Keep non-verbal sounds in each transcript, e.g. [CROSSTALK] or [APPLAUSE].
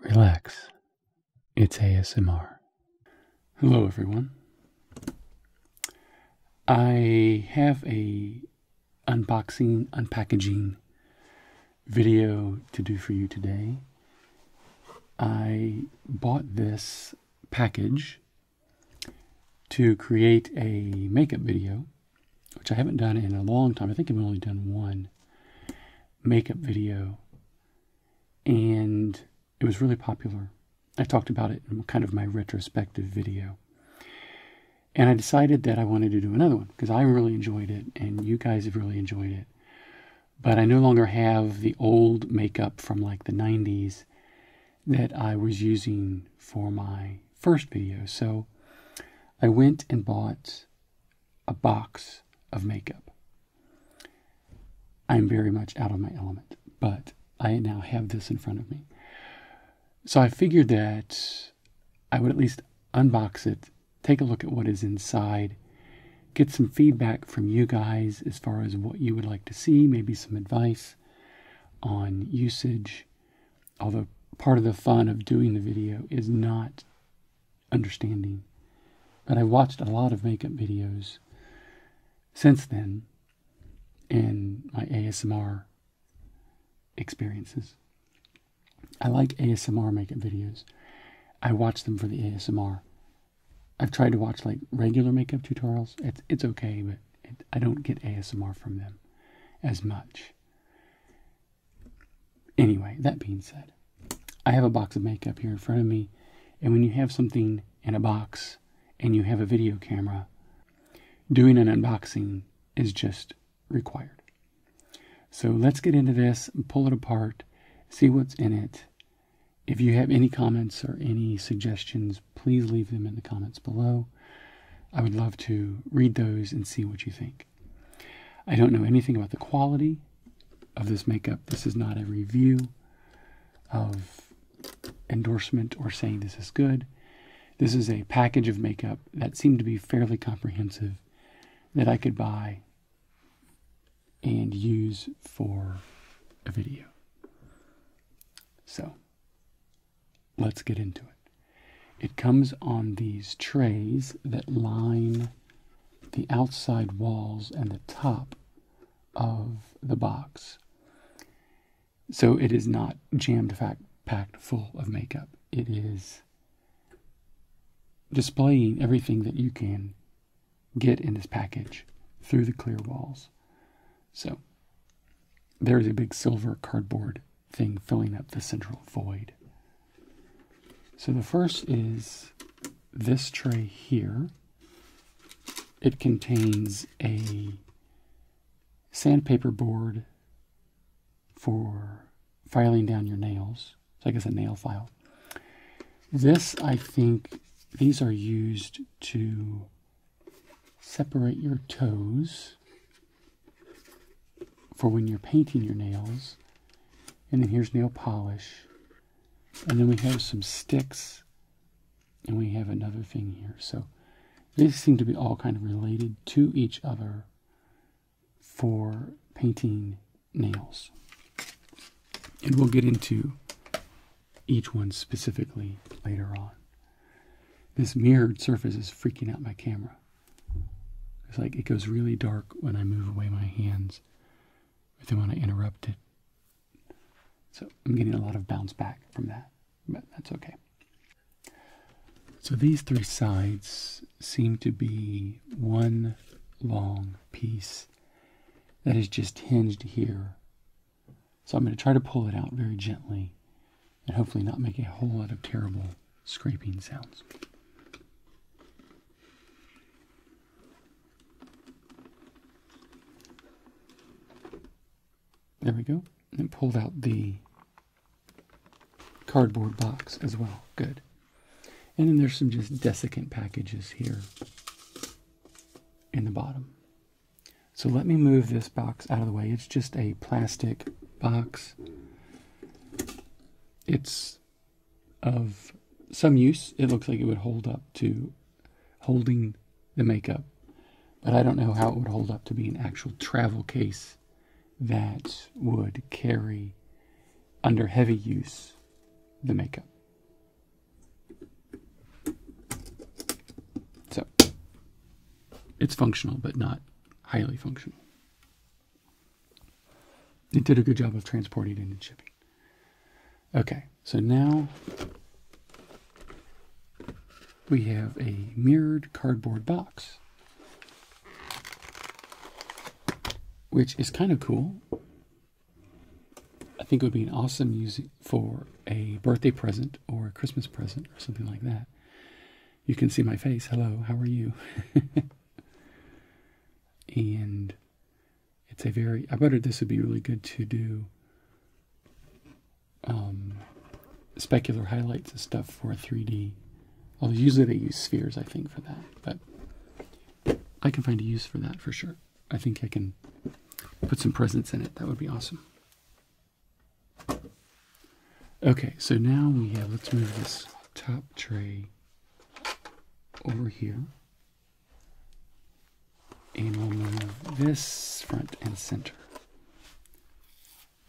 Relax. It's ASMR. Hello, everyone. I have a unboxing, unpackaging video to do for you today. I bought this package to create a makeup video, which I haven't done in a long time. I think I've only done one makeup video, and it was really popular. I talked about it in kind of my retrospective video. And I decided that I wanted to do another one because I really enjoyed it and you guys have really enjoyed it. But I no longer have the old makeup from like the 90s that I was using for my first video. So I went and bought a box of makeup. I'm very much out of my element, but I now have this in front of me. So I figured that I would at least unbox it, take a look at what is inside, get some feedback from you guys as far as what you would like to see, maybe some advice on usage. Although part of the fun of doing the video is not understanding. But I've watched a lot of makeup videos since then and my ASMR experiences. I like ASMR makeup videos. I watch them for the ASMR. I've tried to watch like regular makeup tutorials. It's it's okay, but I don't get ASMR from them as much. Anyway, that being said, I have a box of makeup here in front of me, and when you have something in a box and you have a video camera, doing an unboxing is just required. So let's get into this, pull it apart, see what's in it. If you have any comments or any suggestions, please leave them in the comments below. I would love to read those and see what you think. I don't know anything about the quality of this makeup. This is not a review of endorsement or saying this is good. This is a package of makeup that seemed to be fairly comprehensive that I could buy and use for a video. So let's get into it. It comes on these trays that line the outside walls and the top of the box. So it is not jammed packed full of makeup. It is displaying everything that you can get in this package through the clear walls. So there is a big silver cardboard thing filling up the central void. So the first is this tray here. It contains a sandpaper board for filing down your nails. So I guess a nail file. This, I think, these are used to separate your toes for when you're painting your nails and then here's nail polish. And then we have some sticks. And we have another thing here. So these seem to be all kind of related to each other for painting nails. And we'll get into each one specifically later on. This mirrored surface is freaking out my camera. It's like it goes really dark when I move away my hands with them want to interrupt it. So I'm getting a lot of bounce back from that, but that's okay. So these three sides seem to be one long piece that is just hinged here. So I'm going to try to pull it out very gently and hopefully not make a whole lot of terrible scraping sounds. There we go. And it pulled out the cardboard box as well. Good. And then there's some just desiccant packages here in the bottom. So let me move this box out of the way. It's just a plastic box. It's of some use. It looks like it would hold up to holding the makeup, but I don't know how it would hold up to be an actual travel case that would carry under heavy use the makeup. So it's functional, but not highly functional. It did a good job of transporting it and shipping. Okay, so now we have a mirrored cardboard box, which is kind of cool. I think it would be an awesome use for a birthday present or a Christmas present or something like that. You can see my face. Hello, how are you? [LAUGHS] and it's a very I wondered this would be really good to do um, specular highlights and stuff for 3D. Although usually they use spheres, I think, for that. But I can find a use for that for sure. I think I can put some presence in it. That would be awesome. Okay, so now we have, let's move this top tree over here. And we'll move this front and center.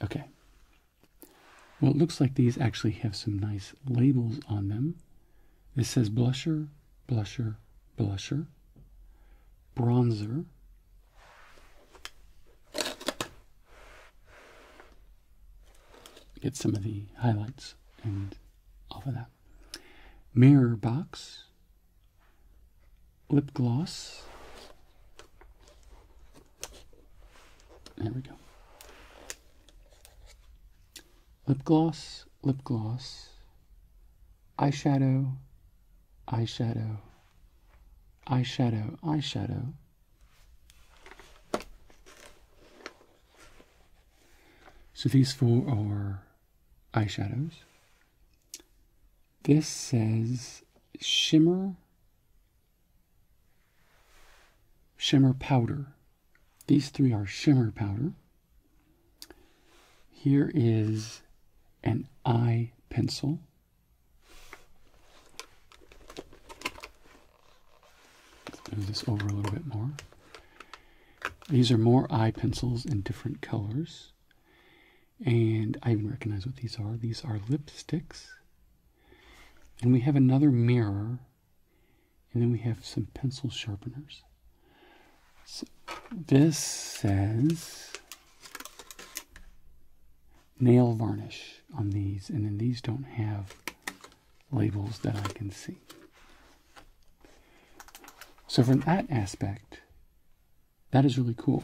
Okay. Well, it looks like these actually have some nice labels on them. This says blusher, blusher, blusher, bronzer, get some of the highlights and off of that. Mirror box, lip gloss. There we go. Lip gloss, lip gloss, eyeshadow, eyeshadow, eyeshadow, eyeshadow, so these four are eyeshadows. This says shimmer shimmer powder. These three are shimmer powder. Here is an eye pencil move this over a little bit more. These are more eye pencils in different colors. And I even recognize what these are. These are lipsticks. And we have another mirror. And then we have some pencil sharpeners. So this says nail varnish on these. And then these don't have labels that I can see. So from that aspect, that is really cool.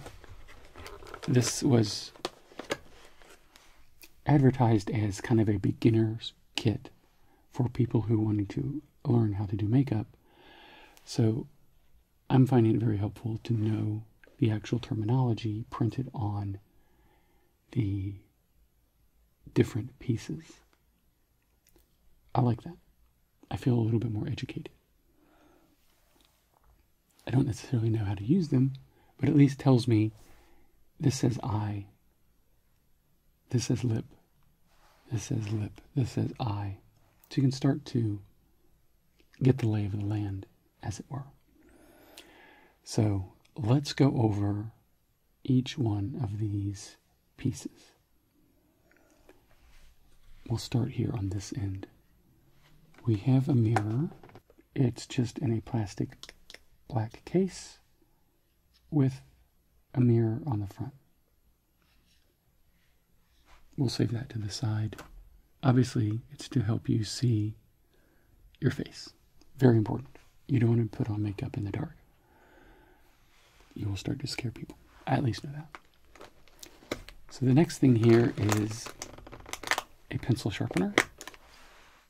This was advertised as kind of a beginner's kit for people who wanted to learn how to do makeup. So I'm finding it very helpful to know the actual terminology printed on the different pieces. I like that. I feel a little bit more educated. I don't necessarily know how to use them, but at least tells me this says I, this says lip, this says lip, this says I. So you can start to get the lay of the land, as it were. So let's go over each one of these pieces. We'll start here on this end. We have a mirror. It's just in a plastic black case with a mirror on the front. We'll save that to the side. Obviously, it's to help you see your face. Very important. You don't want to put on makeup in the dark you will start to scare people. I at least know that. So the next thing here is a pencil sharpener.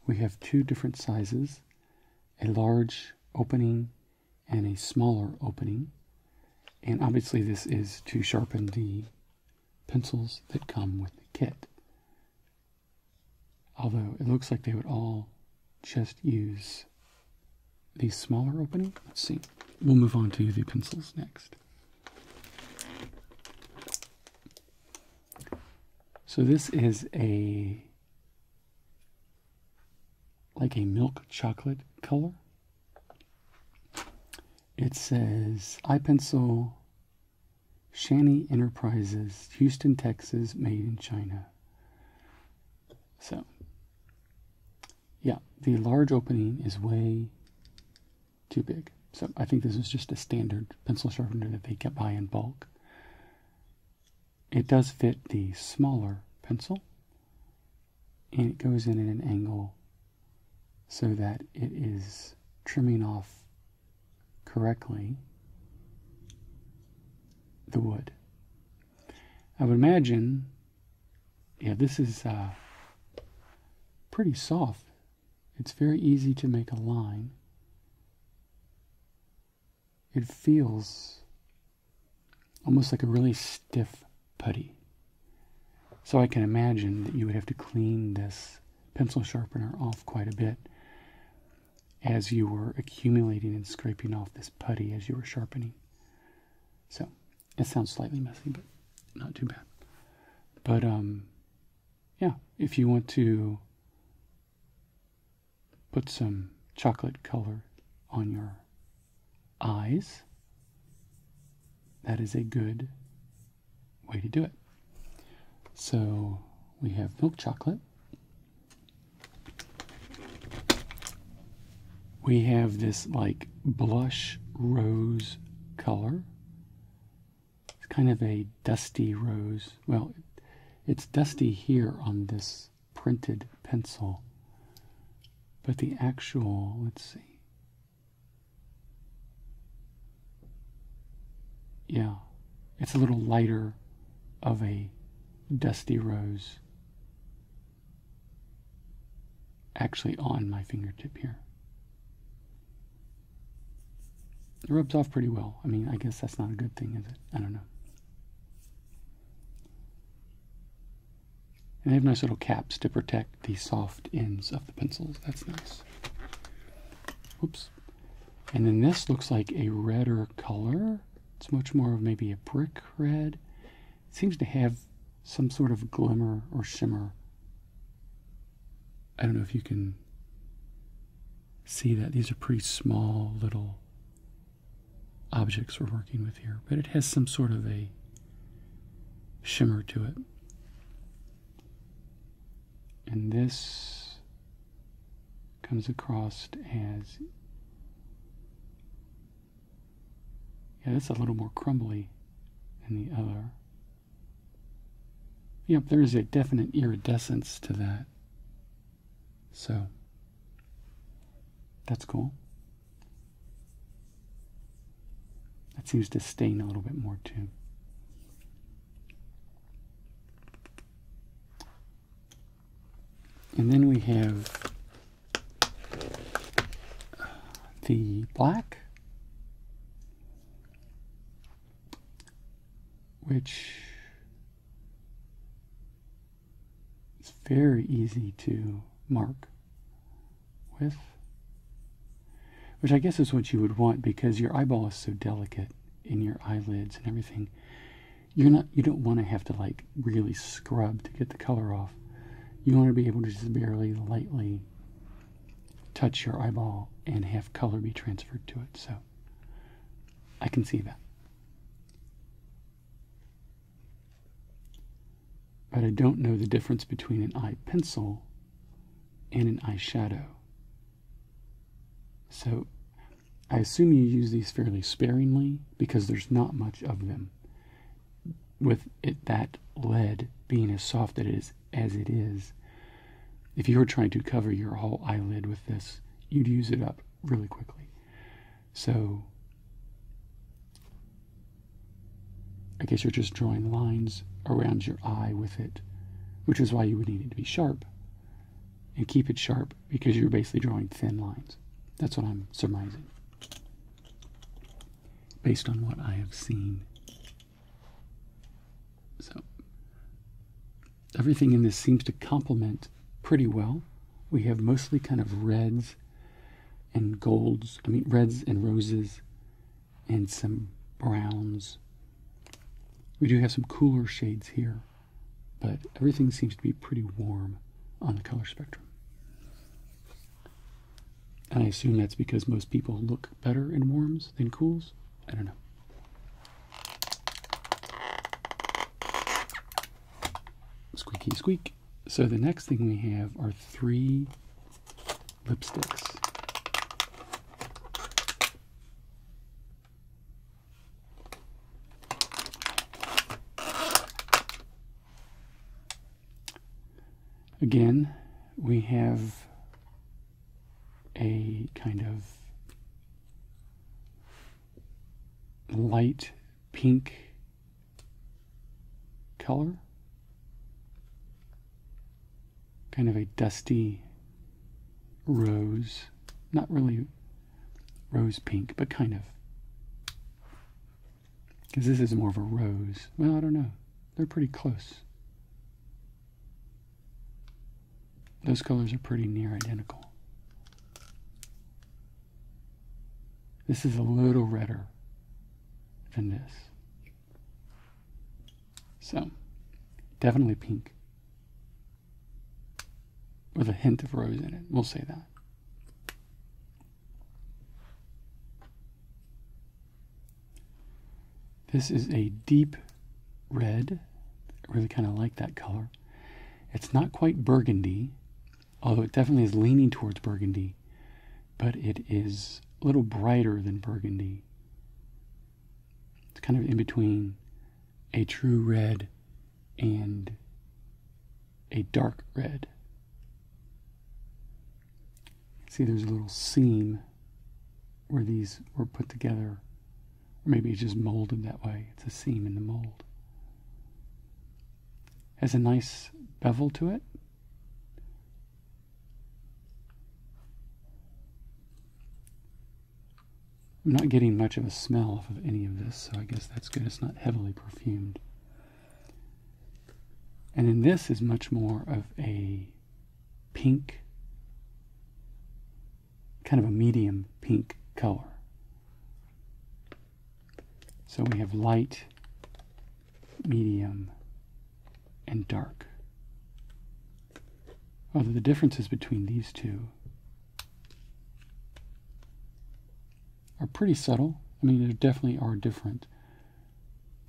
We have two different sizes, a large opening and a smaller opening. And obviously this is to sharpen the pencils that come with the kit. Although it looks like they would all just use the smaller opening. Let's see. We'll move on to the pencils next. So this is a like a milk chocolate color. It says iPencil Shani Enterprises, Houston, Texas, made in China. So, yeah, the large opening is way too big. So I think this is just a standard pencil sharpener that they get by in bulk. It does fit the smaller pencil, and it goes in at an angle so that it is trimming off correctly the wood. I would imagine, yeah, this is uh, pretty soft. It's very easy to make a line. It feels almost like a really stiff putty. So I can imagine that you would have to clean this pencil sharpener off quite a bit as you were accumulating and scraping off this putty as you were sharpening. So it sounds slightly messy, but not too bad. But um, yeah, if you want to put some chocolate color on your eyes, that is a good way to do it. So we have milk chocolate, we have this like blush rose color. It's kind of a dusty rose. Well, it's dusty here on this printed pencil. But the actual, let's see. Yeah, it's a little lighter of a dusty rose actually on my fingertip here. It rubs off pretty well. I mean, I guess that's not a good thing, is it? I don't know. And they have nice little caps to protect the soft ends of the pencils. That's nice. Oops. And then this looks like a redder color. It's much more of maybe a brick red. seems to have some sort of glimmer or shimmer. I don't know if you can see that. These are pretty small little objects we're working with here, but it has some sort of a shimmer to it. And this comes across as yeah this is a little more crumbly than the other yep there is a definite iridescence to that so that's cool that seems to stain a little bit more too and then we have uh, the black, which is very easy to mark with, which I guess is what you would want because your eyeball is so delicate in your eyelids and everything you're not you don't want to have to like really scrub to get the color off. You want to be able to just barely lightly touch your eyeball and have color be transferred to it. So I can see that. But I don't know the difference between an eye pencil and an eyeshadow. So I assume you use these fairly sparingly because there's not much of them. With it, that lead being as soft it is, as it is, if you were trying to cover your whole eyelid with this, you'd use it up really quickly. So, I guess you're just drawing lines around your eye with it, which is why you would need it to be sharp and keep it sharp because you're basically drawing thin lines. That's what I'm surmising based on what I have seen. So, everything in this seems to complement pretty well. We have mostly kind of reds and golds, I mean, reds and roses, and some browns. We do have some cooler shades here but everything seems to be pretty warm on the color spectrum. And I assume that's because most people look better in warms than cools. I don't know. Squeaky squeak. So the next thing we have are three lipsticks. Again, we have a kind of light pink color, kind of a dusty rose, not really rose pink, but kind of. Because this is more of a rose. Well, I don't know. They're pretty close. Those colors are pretty near identical. This is a little redder than this. So, definitely pink with a hint of rose in it. We'll say that. This is a deep red. I really kind of like that color. It's not quite burgundy, although it definitely is leaning towards burgundy, but it is a little brighter than burgundy. It's kind of in between a true red and a dark red. See, there's a little seam where these were put together. Or maybe it's just molded that way. It's a seam in the mold. Has a nice bevel to it. I'm not getting much of a smell off of any of this, so I guess that's good. It's not heavily perfumed. And then this is much more of a pink, kind of a medium pink color. So we have light, medium, and dark. Although the differences between these two are pretty subtle. I mean, they definitely are different,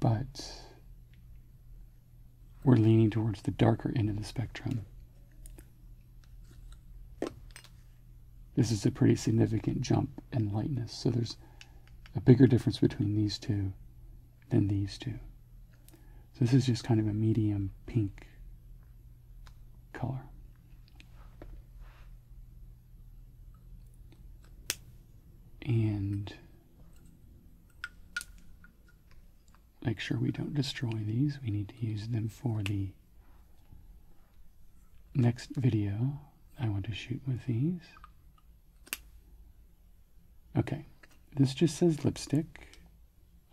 but we're leaning towards the darker end of the spectrum. This is a pretty significant jump in lightness, so there's a bigger difference between these two than these two. So this is just kind of a medium pink color and make sure we don't destroy these. We need to use them for the next video I want to shoot with these. Okay, this just says lipstick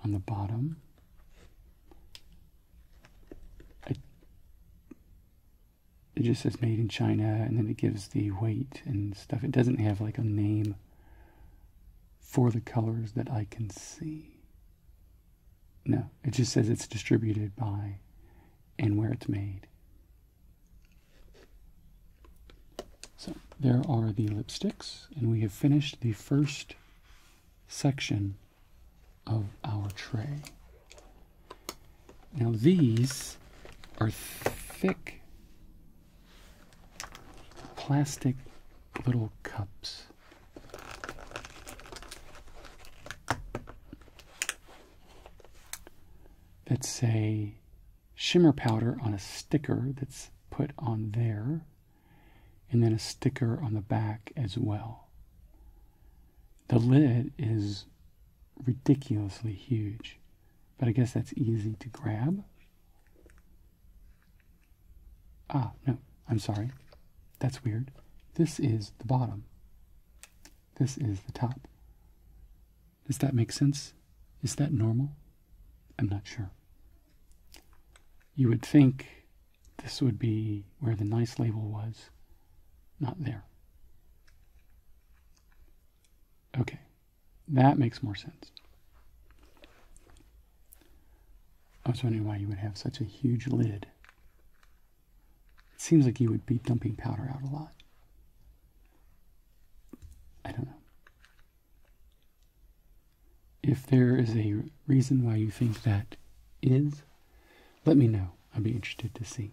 on the bottom it just says made in China and then it gives the weight and stuff. It doesn't have like a name for the colors that I can see. No, it just says it's distributed by and where it's made. So there are the lipsticks, and we have finished the first section of our tray. Now these are thick plastic little cups. that say shimmer powder on a sticker that's put on there and then a sticker on the back as well. The lid is ridiculously huge, but I guess that's easy to grab. Ah, no, I'm sorry. That's weird. This is the bottom. This is the top. Does that make sense? Is that normal? I'm not sure. You would think this would be where the nice label was, not there. Okay, that makes more sense. I was wondering why you would have such a huge lid. It seems like you would be dumping powder out a lot. I don't know. If there is a reason why you think that is, let me know. I'd be interested to see.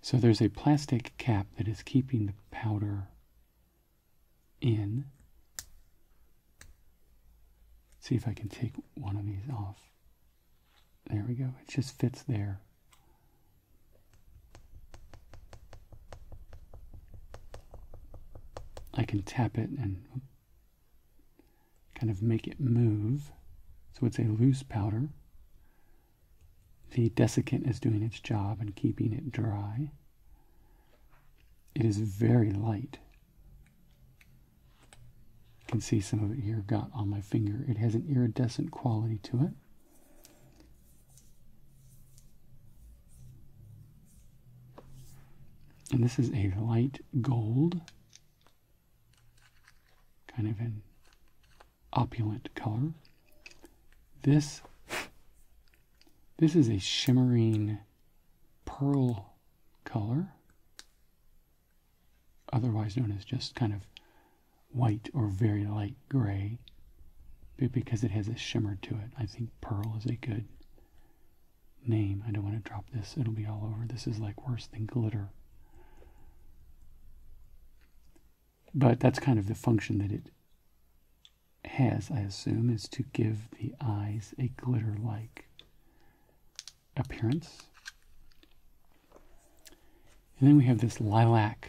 So there's a plastic cap that is keeping the powder in. See if I can take one of these off. There we go. It just fits there. I can tap it and kind of make it move. So it's a loose powder. The desiccant is doing its job and keeping it dry. It is very light. You can see some of it here got on my finger. It has an iridescent quality to it. And this is a light gold kind of an opulent color. This this is a shimmering pearl color, otherwise known as just kind of white or very light gray, but because it has a shimmer to it, I think pearl is a good name. I don't want to drop this, it'll be all over. This is like worse than glitter. But that's kind of the function that it has, I assume, is to give the eyes a glitter like appearance. And then we have this lilac,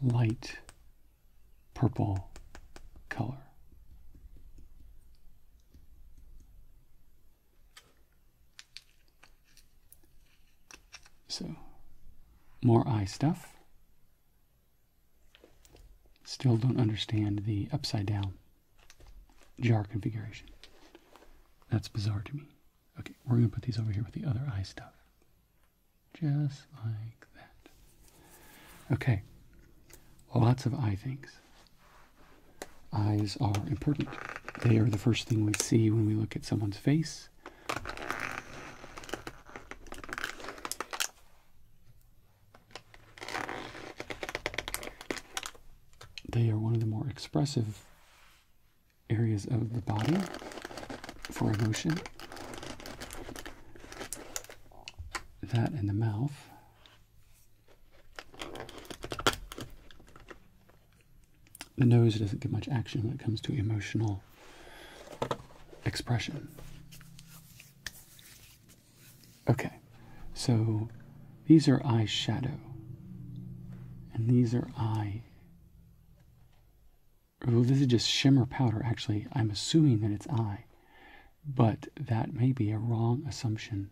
light purple color. So, more eye stuff. Still don't understand the upside down jar configuration. That's bizarre to me. Okay, we're going to put these over here with the other eye stuff. Just like that. Okay, lots of eye things. Eyes are important. They are the first thing we see when we look at someone's face. They are one of the more expressive areas of the body for emotion. That and the mouth the nose doesn't get much action when it comes to emotional expression. Okay, so these are eye shadow, and these are eye. Well, this is just shimmer powder, actually. I'm assuming that it's eye, but that may be a wrong assumption.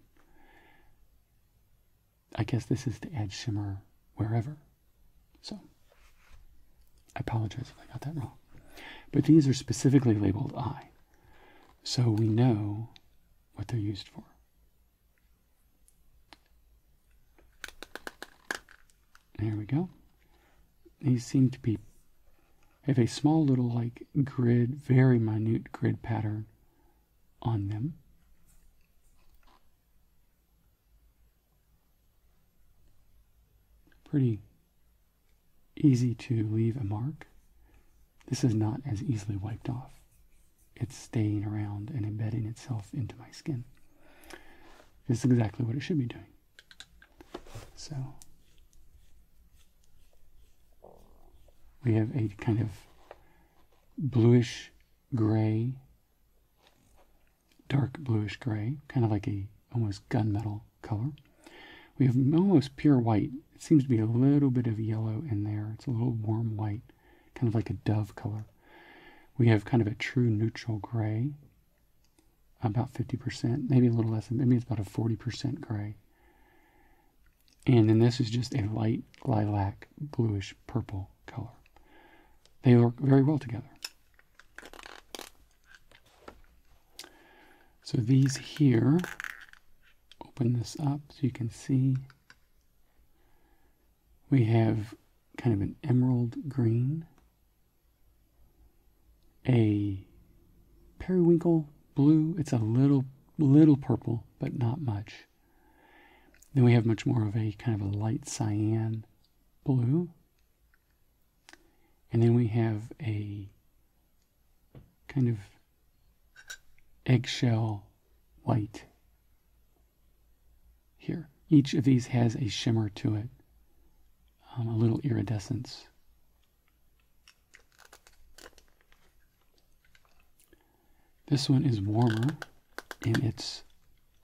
I guess this is the add shimmer wherever. So I apologize if I got that wrong. But these are specifically labeled I. So we know what they're used for. There we go. These seem to be have a small little like grid, very minute grid pattern on them. Pretty easy to leave a mark. This is not as easily wiped off. It's staying around and embedding itself into my skin. This is exactly what it should be doing. So we have a kind of bluish gray, dark bluish gray, kind of like a almost gunmetal color. We have almost pure white. It seems to be a little bit of yellow in there. It's a little warm white, kind of like a dove color. We have kind of a true neutral gray, about 50%, maybe a little less, maybe it's about a 40% gray. And then this is just a light lilac, bluish purple color. They work very well together. So these here, open this up so you can see. We have kind of an emerald green, a periwinkle blue. It's a little little purple but not much. Then we have much more of a kind of a light cyan blue. And then we have a kind of eggshell white here. Each of these has a shimmer to it, um, a little iridescence. This one is warmer in its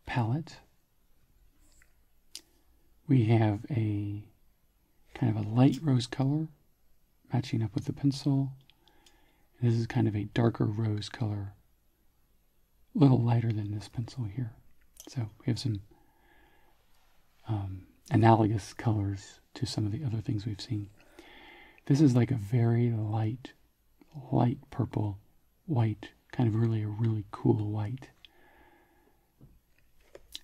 palette. We have a kind of a light rose color matching up with the pencil. this is kind of a darker rose color, a little lighter than this pencil here. So we have some um, analogous colors to some of the other things we've seen. This is like a very light, light purple, white, kind of really a really cool white.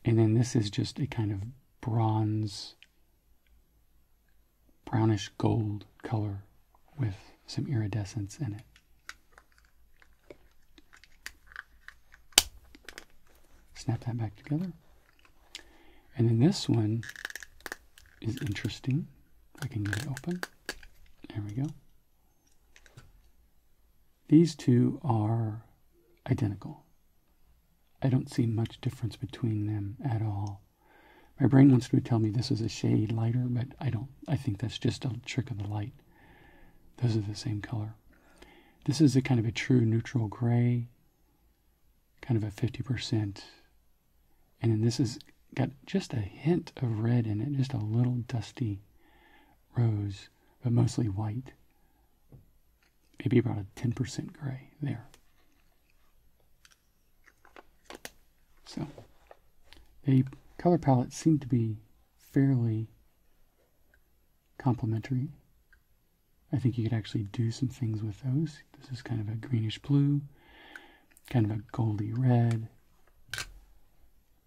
And then this is just a kind of bronze, brownish gold color with some iridescence in it. Snap that back together. And then this one is interesting. I can get it open. There we go. These two are identical. I don't see much difference between them at all. My brain wants to tell me this is a shade lighter, but I don't. I think that's just a trick of the light. Those are the same color. This is a kind of a true neutral gray kind of a 50%. And then this has got just a hint of red in it, just a little dusty rose, but mostly white. Maybe about a 10% gray there. So the color palette seemed to be fairly complementary. I think you could actually do some things with those. This is kind of a greenish blue, kind of a goldy red,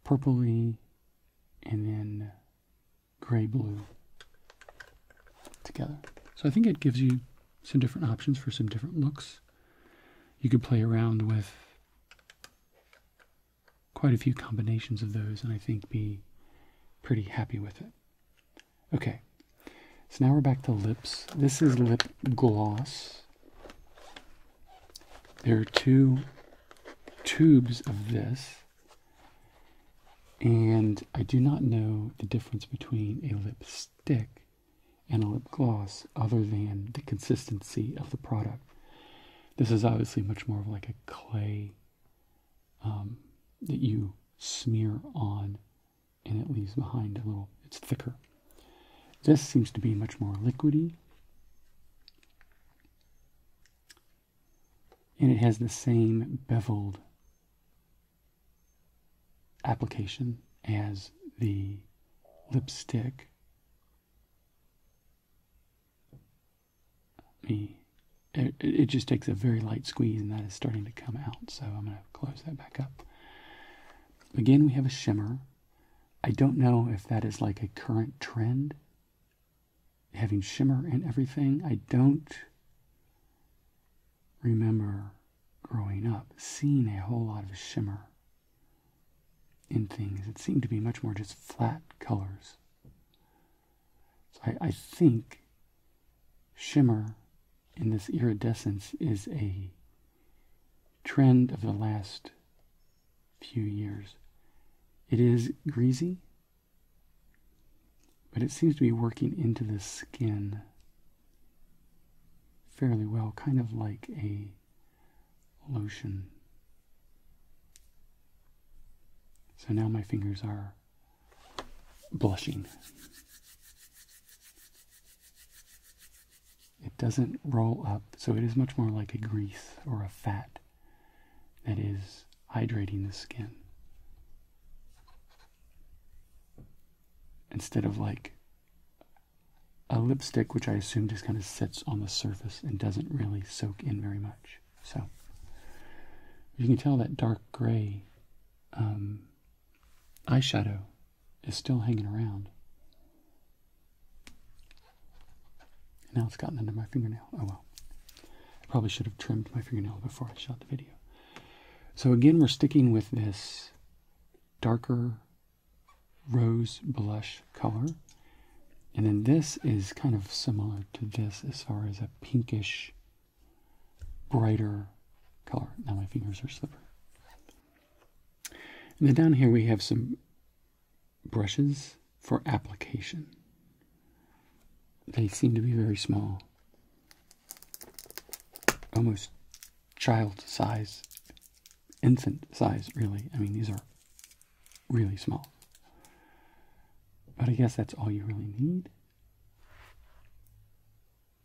purpley, and then gray blue together. So I think it gives you some different options for some different looks. You could play around with quite a few combinations of those and I think be pretty happy with it. Okay, so now we're back to lips. This is lip gloss. There are two tubes of this, and I do not know the difference between a lipstick and a lip gloss other than the consistency of the product. This is obviously much more of like a clay um, that you smear on and it leaves behind a little, it's thicker. This seems to be much more liquidy. And it has the same beveled application as the lipstick. me, it, just takes a very light squeeze and that is starting to come out. So I'm going to close that back up. Again, we have a shimmer. I don't know if that is like a current trend, having shimmer in everything. I don't remember growing up seeing a whole lot of shimmer in things. It seemed to be much more just flat colors. So I, I think shimmer in this iridescence is a trend of the last few years. It is greasy, but it seems to be working into the skin fairly well, kind of like a lotion. So now my fingers are blushing. It doesn't roll up, so it is much more like a grease or a fat that is hydrating the skin. Instead of like a lipstick, which I assume just kind of sits on the surface and doesn't really soak in very much. So you can tell that dark gray um, eyeshadow is still hanging around. And now it's gotten under my fingernail. Oh well. I probably should have trimmed my fingernail before I shot the video. So again, we're sticking with this darker rose blush color. And then this is kind of similar to this as far as a pinkish brighter color. Now my fingers are slippery. And then down here we have some brushes for application. They seem to be very small, almost child size, infant size, really. I mean, these are really small. But I guess that's all you really need.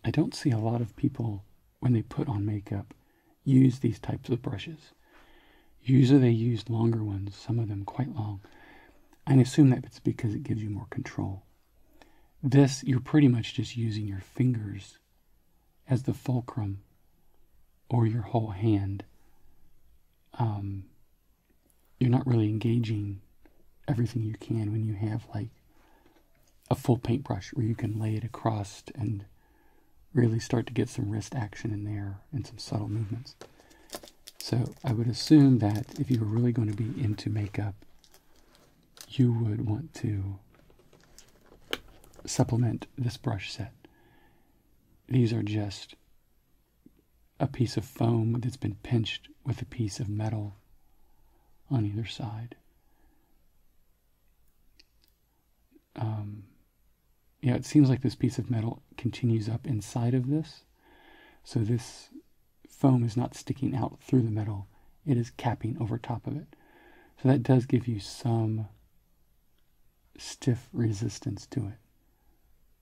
I don't see a lot of people when they put on makeup use these types of brushes. Usually they use longer ones, some of them quite long. I assume that it's because it gives you more control. This, you're pretty much just using your fingers as the fulcrum or your whole hand. Um, you're not really engaging everything you can when you have like a full paintbrush where you can lay it across and really start to get some wrist action in there and some subtle movements. So I would assume that if you were really going to be into makeup, you would want to supplement this brush set. These are just a piece of foam that's been pinched with a piece of metal on either side. Um, yeah, it seems like this piece of metal continues up inside of this. So this foam is not sticking out through the metal. It is capping over top of it. So that does give you some stiff resistance to it.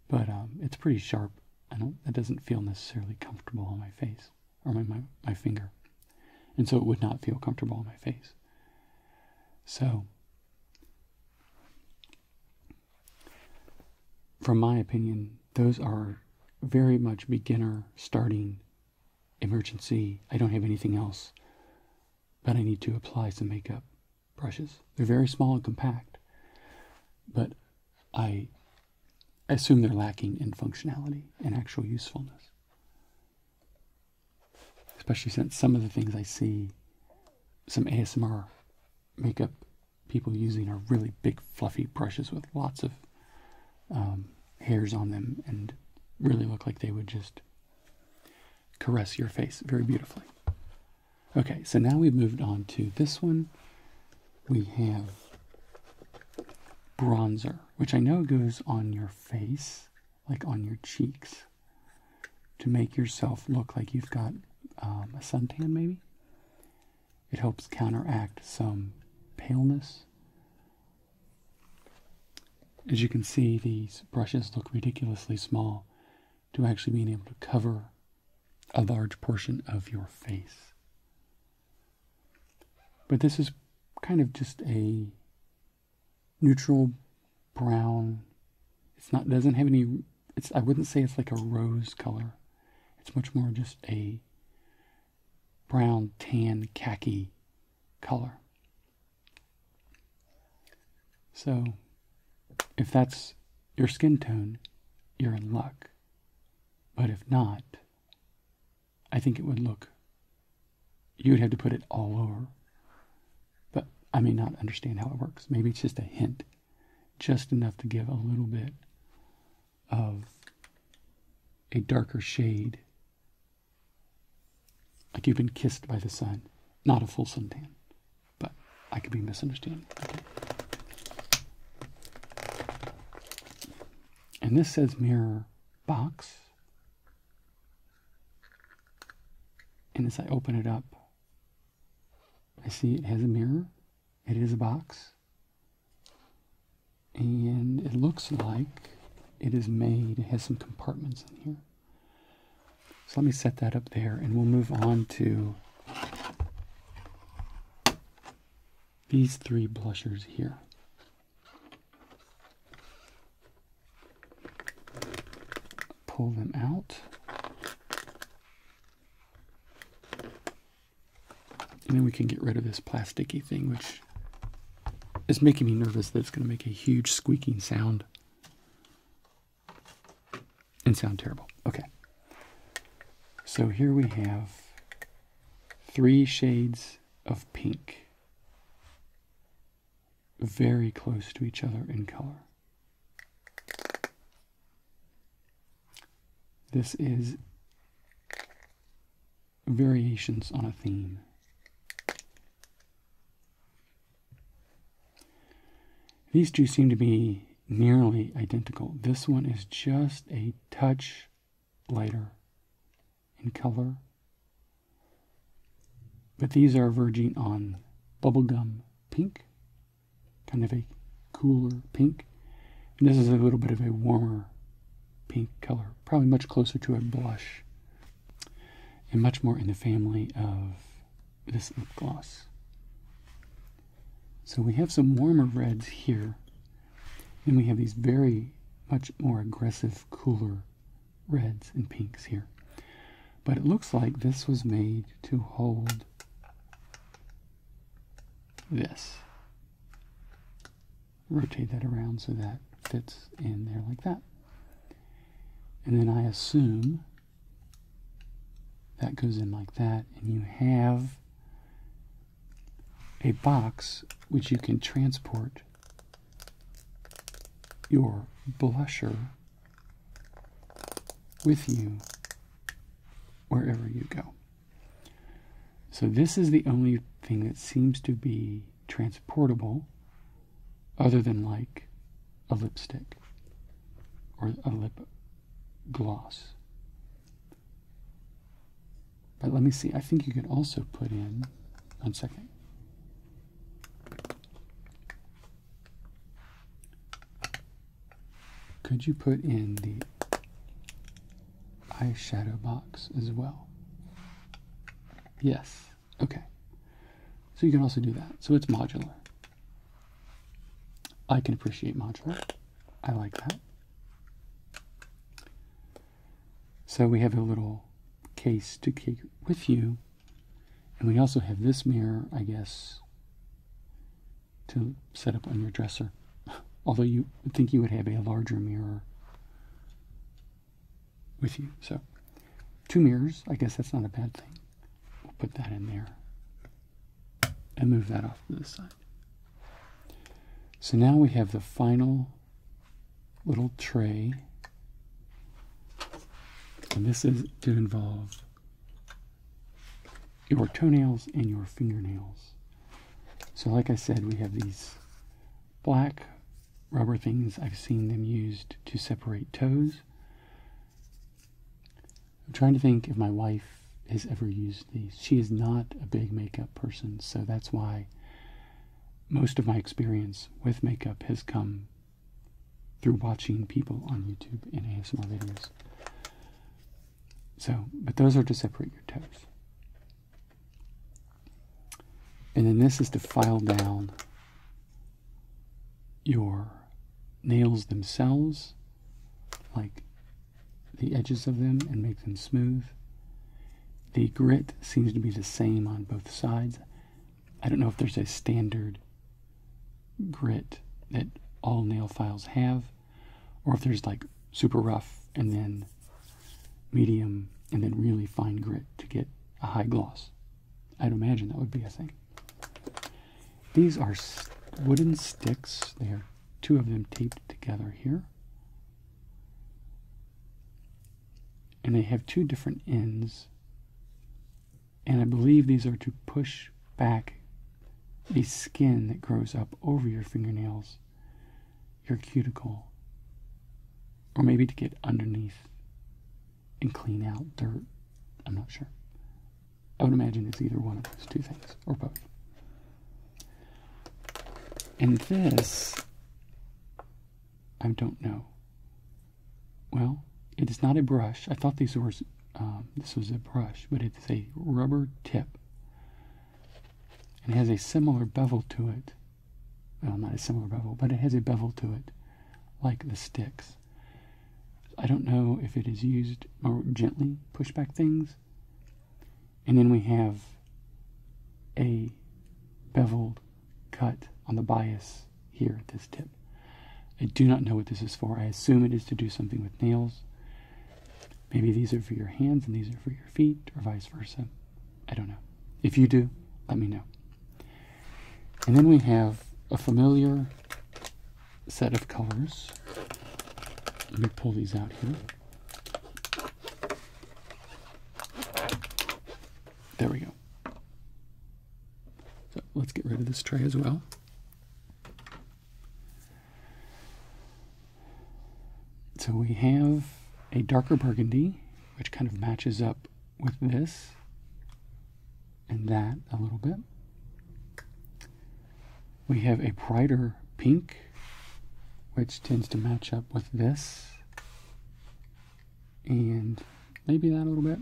But um, it's pretty sharp. I don't, that doesn't feel necessarily comfortable on my face or my, my, finger. And so it would not feel comfortable on my face. So, from my opinion, those are very much beginner starting emergency. I don't have anything else, but I need to apply some makeup brushes. They're very small and compact, but I I assume they're lacking in functionality and actual usefulness. Especially since some of the things I see some ASMR makeup people using are really big, fluffy brushes with lots of um, hairs on them and really look like they would just caress your face very beautifully. Okay, so now we've moved on to this one we have bronzer, which I know goes on your face, like on your cheeks, to make yourself look like you've got um, a suntan, maybe. It helps counteract some paleness. As you can see, these brushes look ridiculously small to actually being able to cover a large portion of your face. But this is kind of just a neutral brown. It's not doesn't have any it's I wouldn't say it's like a rose color. It's much more just a brown tan khaki color. So, if that's your skin tone, you're in luck. But if not, I think it would look. You would have to put it all over. But I may not understand how it works. Maybe it's just a hint, just enough to give a little bit of a darker shade. Like you've been kissed by the sun. Not a full suntan, but I could be misunderstanding. Okay. And this says mirror box. And as I open it up, I see it has a mirror. It is a box. And it looks like it is made, it has some compartments in here. So let me set that up there and we'll move on to these three blushers here pull them out. And then we can get rid of this plasticky thing, which is making me nervous that it's going to make a huge squeaking sound and sound terrible. Okay. So here we have three shades of pink, very close to each other in color. This is variations on a theme. These two seem to be nearly identical. This one is just a touch lighter in color. But these are verging on bubblegum pink, kind of a cooler pink. And this is a little bit of a warmer pink color, probably much closer to a blush and much more in the family of this lip gloss. So we have some warmer reds here then we have these very much more aggressive, cooler reds and pinks here. But it looks like this was made to hold this. Rotate that around so that fits in there like that. And then I assume that goes in like that, and you have a box which you can transport your blusher with you wherever you go. So, this is the only thing that seems to be transportable other than like a lipstick or a lip gloss. But let me see, I think you could also put in, one second. Could you put in the eyeshadow box as well? Yes, okay. So you can also do that. So it's modular. I can appreciate modular. I like that. So we have a little case to keep with you. And we also have this mirror, I guess, to set up on your dresser. [LAUGHS] Although you would think you would have a larger mirror with you. So two mirrors, I guess that's not a bad thing. We'll put that in there and move that off to the side. So now we have the final little tray. And this is to involve your toenails and your fingernails. So like I said, we have these black rubber things. I've seen them used to separate toes. I'm trying to think if my wife has ever used she is not a big makeup person, so that's why most of my experience with makeup has come through watching people on YouTube and ASMR videos. So, but those are to separate your toes. And then this is to file down your nails themselves, like the edges of them and make them smooth. The grit seems to be the same on both sides. I don't know if there's a standard grit that all nail files have, or if there's like super rough and then medium and then really fine grit to get a high gloss. I'd imagine that would be a thing. These are wooden sticks. They are two of them taped together here and they have two different ends. And I believe these are to push back the skin that grows up over your fingernails, your cuticle, or maybe to get underneath and clean out dirt. I'm not sure. I would imagine it's either one of those two things, or both. And this, I don't know. Well, it is not a brush. I thought these were, um, this was a brush, but it's a rubber tip. it has a similar bevel to it. Well, not a similar bevel, but it has a bevel to it, like the sticks. I don't know if it is used more gently push back things. And then we have a beveled cut on the bias here at this tip. I do not know what this is for. I assume it is to do something with nails. Maybe these are for your hands and these are for your feet, or vice versa. I don't know. If you do, let me know. And then we have a familiar set of colors. Let me pull these out here. There we go. So let's get rid of this tray as well. So we have a darker burgundy, which kind of matches up with this and that a little bit. We have a brighter pink which tends to match up with this and maybe that a little bit.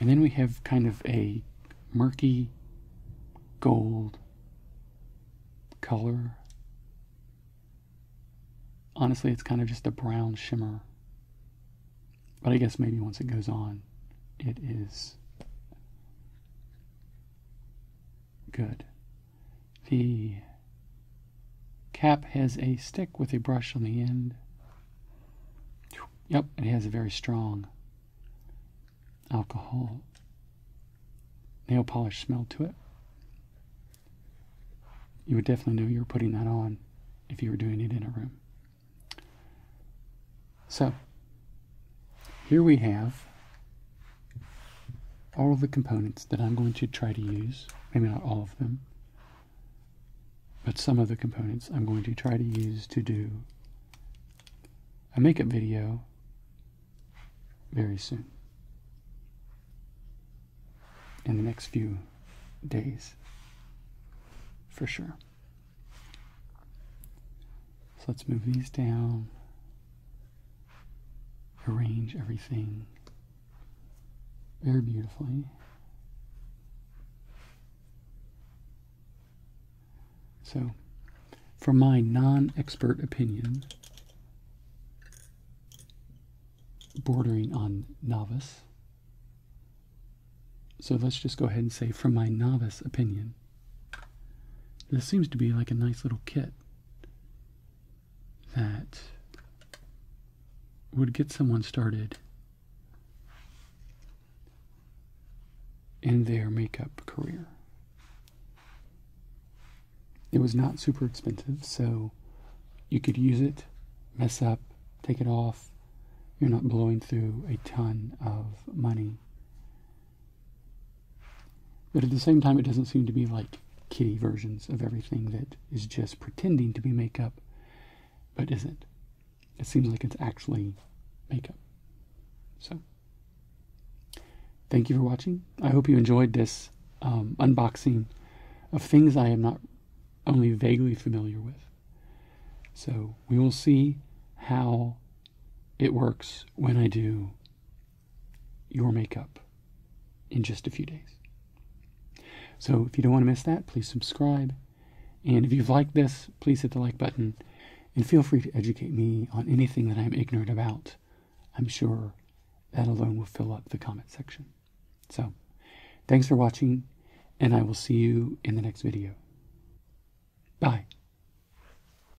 And then we have kind of a murky gold color. Honestly, it's kind of just a brown shimmer. But I guess maybe once it goes on, it is Good. The cap has a stick with a brush on the end. Yep, it has a very strong alcohol nail polish smell to it. You would definitely know you were putting that on if you were doing it in a room. So, here we have all of the components that I'm going to try to use. Maybe not all of them, but some of the components I'm going to try to use to do a makeup video very soon in the next few days for sure. So let's move these down arrange everything very beautifully. So, from my non expert opinion, bordering on novice, so let's just go ahead and say, from my novice opinion, this seems to be like a nice little kit that would get someone started in their makeup career. It was not super expensive, so you could use it, mess up, take it off. You're not blowing through a ton of money but at the same time, it doesn't seem to be like kitty versions of everything that is just pretending to be makeup but isn't. It seems like it's actually makeup. So, thank you for watching. I hope you enjoyed this um, unboxing of things I am not only vaguely familiar with. So, we will see how it works when I do your makeup in just a few days. So if you don't want to miss that, please subscribe. And if you've liked this, please hit the like button and feel free to educate me on anything that I'm ignorant about. I'm sure that alone will fill up the comment section. So, thanks for watching, and I will see you in the next video. Bye.